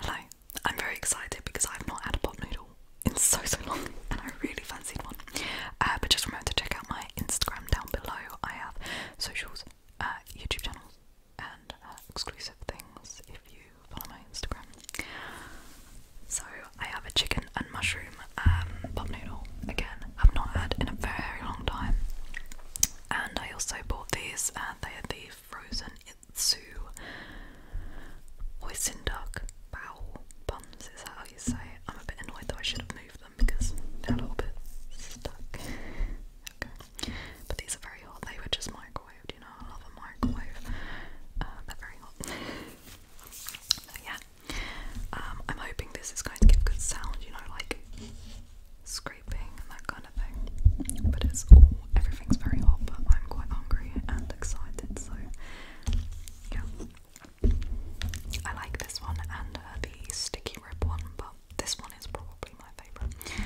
Hello, I'm very excited because I've not had a pot noodle in so so long and I really fancied one. Uh, but just remember to check out my Instagram down below. I have socials, uh, YouTube channels, and uh, exclusive things if you follow my Instagram. So I have a chicken and mushroom um, pot noodle again. I've not had in a very long time. And I also bought these. and they are the Frozen Itsu, Oisinduck, Bowl, Buns, is that how you say it? I'm a bit annoyed that I should have moved them because they're a little bit stuck. okay. But these are very hot, they were just microwaved, you know, I love a microwave. Um, they're very hot. yeah, um, I'm hoping this is going to give good sound, you know, like scraping and that kind of thing. But it's all, everything's very hot, but I'm quite hungry and excited, so yeah. I like this one and the sticky rib one, but this one is probably my favourite.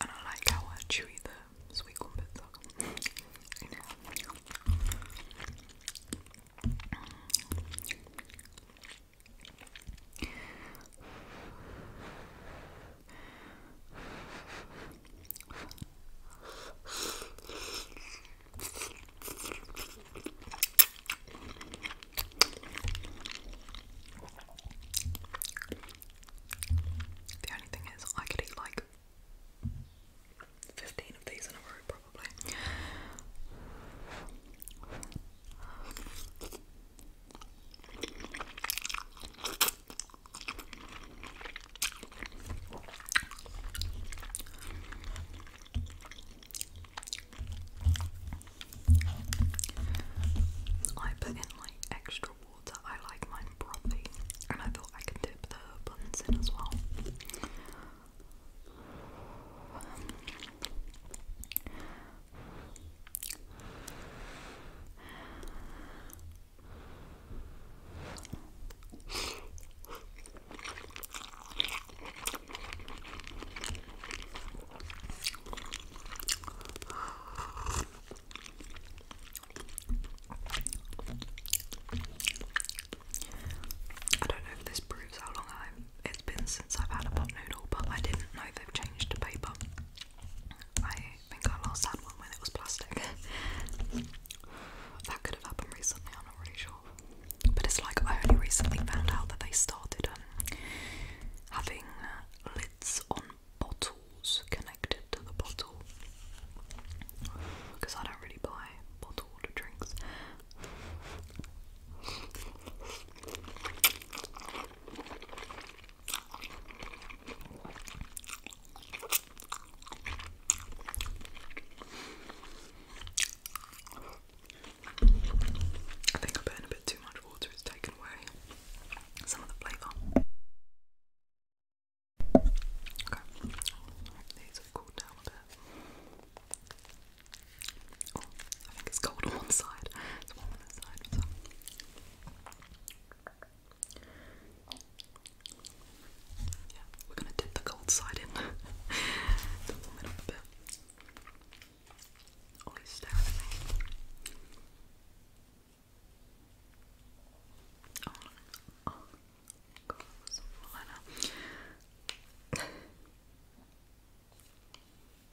I do like how chewy the sweet corn bits are. The only thing is, I could eat like 15 of these in a row, probably. I put in like extra water. I like my brothy, and I thought I could dip the buns in as well. I don't know if this proves how long it's been since I've had a pot noodle, but I didn't know they've changed to paper. I think I last that one when it was plastic. that could have happened recently, I'm not really sure. But it's like I only recently found out that they started um, having lids on bottles connected to the bottle. Because I don't really buy bottled drinks. I think I put in a bit too much water, it's taken away some of the flavour. Okay, these have cooled down a bit. Oh, I think it's cold on one side, it's warm on this side. Yeah, we're gonna dip the cold side in warm it up a bit. Ollie's staring at me. Oh, oh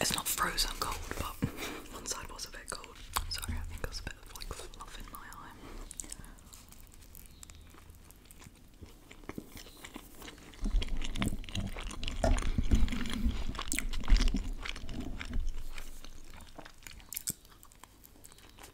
It's not frozen cold, but one side was a bit cold. Sorry, I think there's a bit of like fluff in my eye.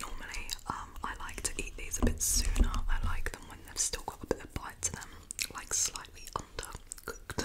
Normally, um, I like to eat these a bit sooner. I like them when they've still got a bit of bite to them, like slightly undercooked.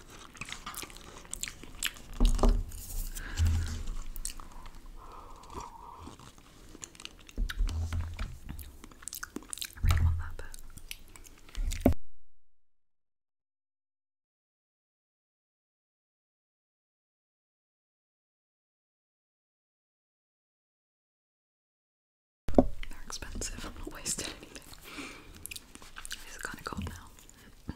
I really want that bit. They're expensive, I'm not wasting anything. It's kind of cold now.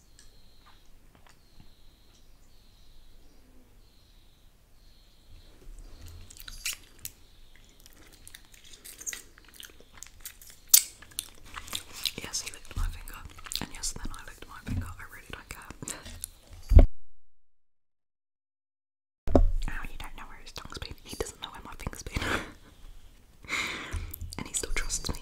Yes, he licked my finger, and yes, then I licked my finger. I really don't care. Ow, you don't know where his tongue's been. He doesn't know where my finger's been. and he still trusts me.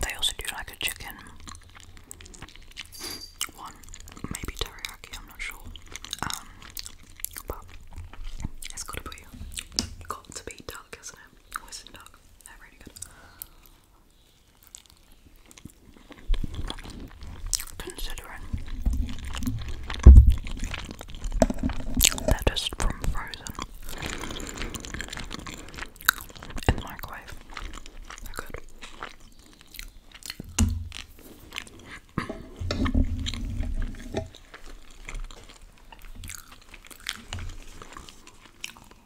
They also do like a chicken one, maybe teriyaki, I'm not sure. Um, but it's gotta be got to be duck, isn't it? Always in duck. they good. Considering they're just from frozen in the microwave, they're good.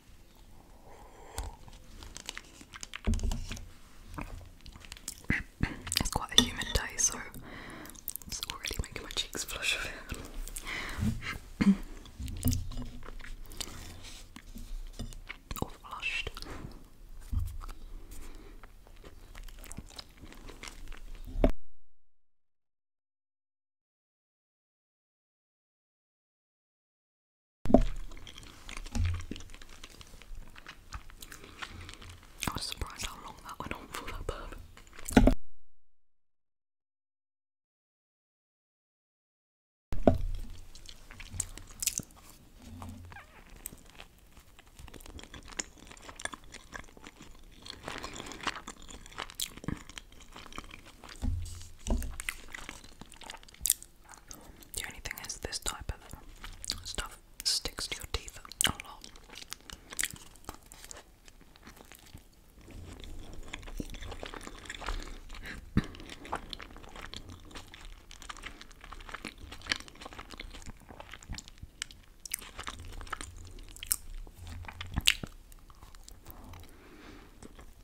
it's quite a humid day, so it's already making my cheeks flush a Or flushed. I was surprised how long that went on for that burp. The only thing is, this type of stuff sticks to your teeth a lot.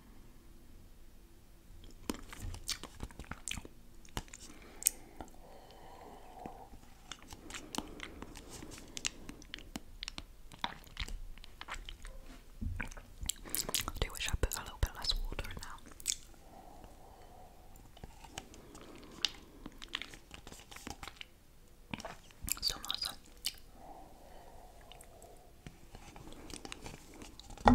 I you wish I put a little bit less water now. Still nice I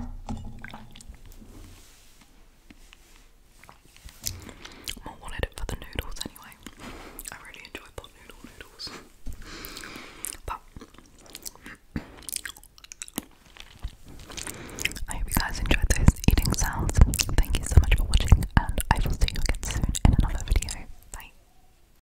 wanted it for the noodles anyway. I really enjoy pot noodle noodles. But I hope you guys enjoyed those eating sounds. Thank you so much for watching, and I will see you again soon in another video. Bye.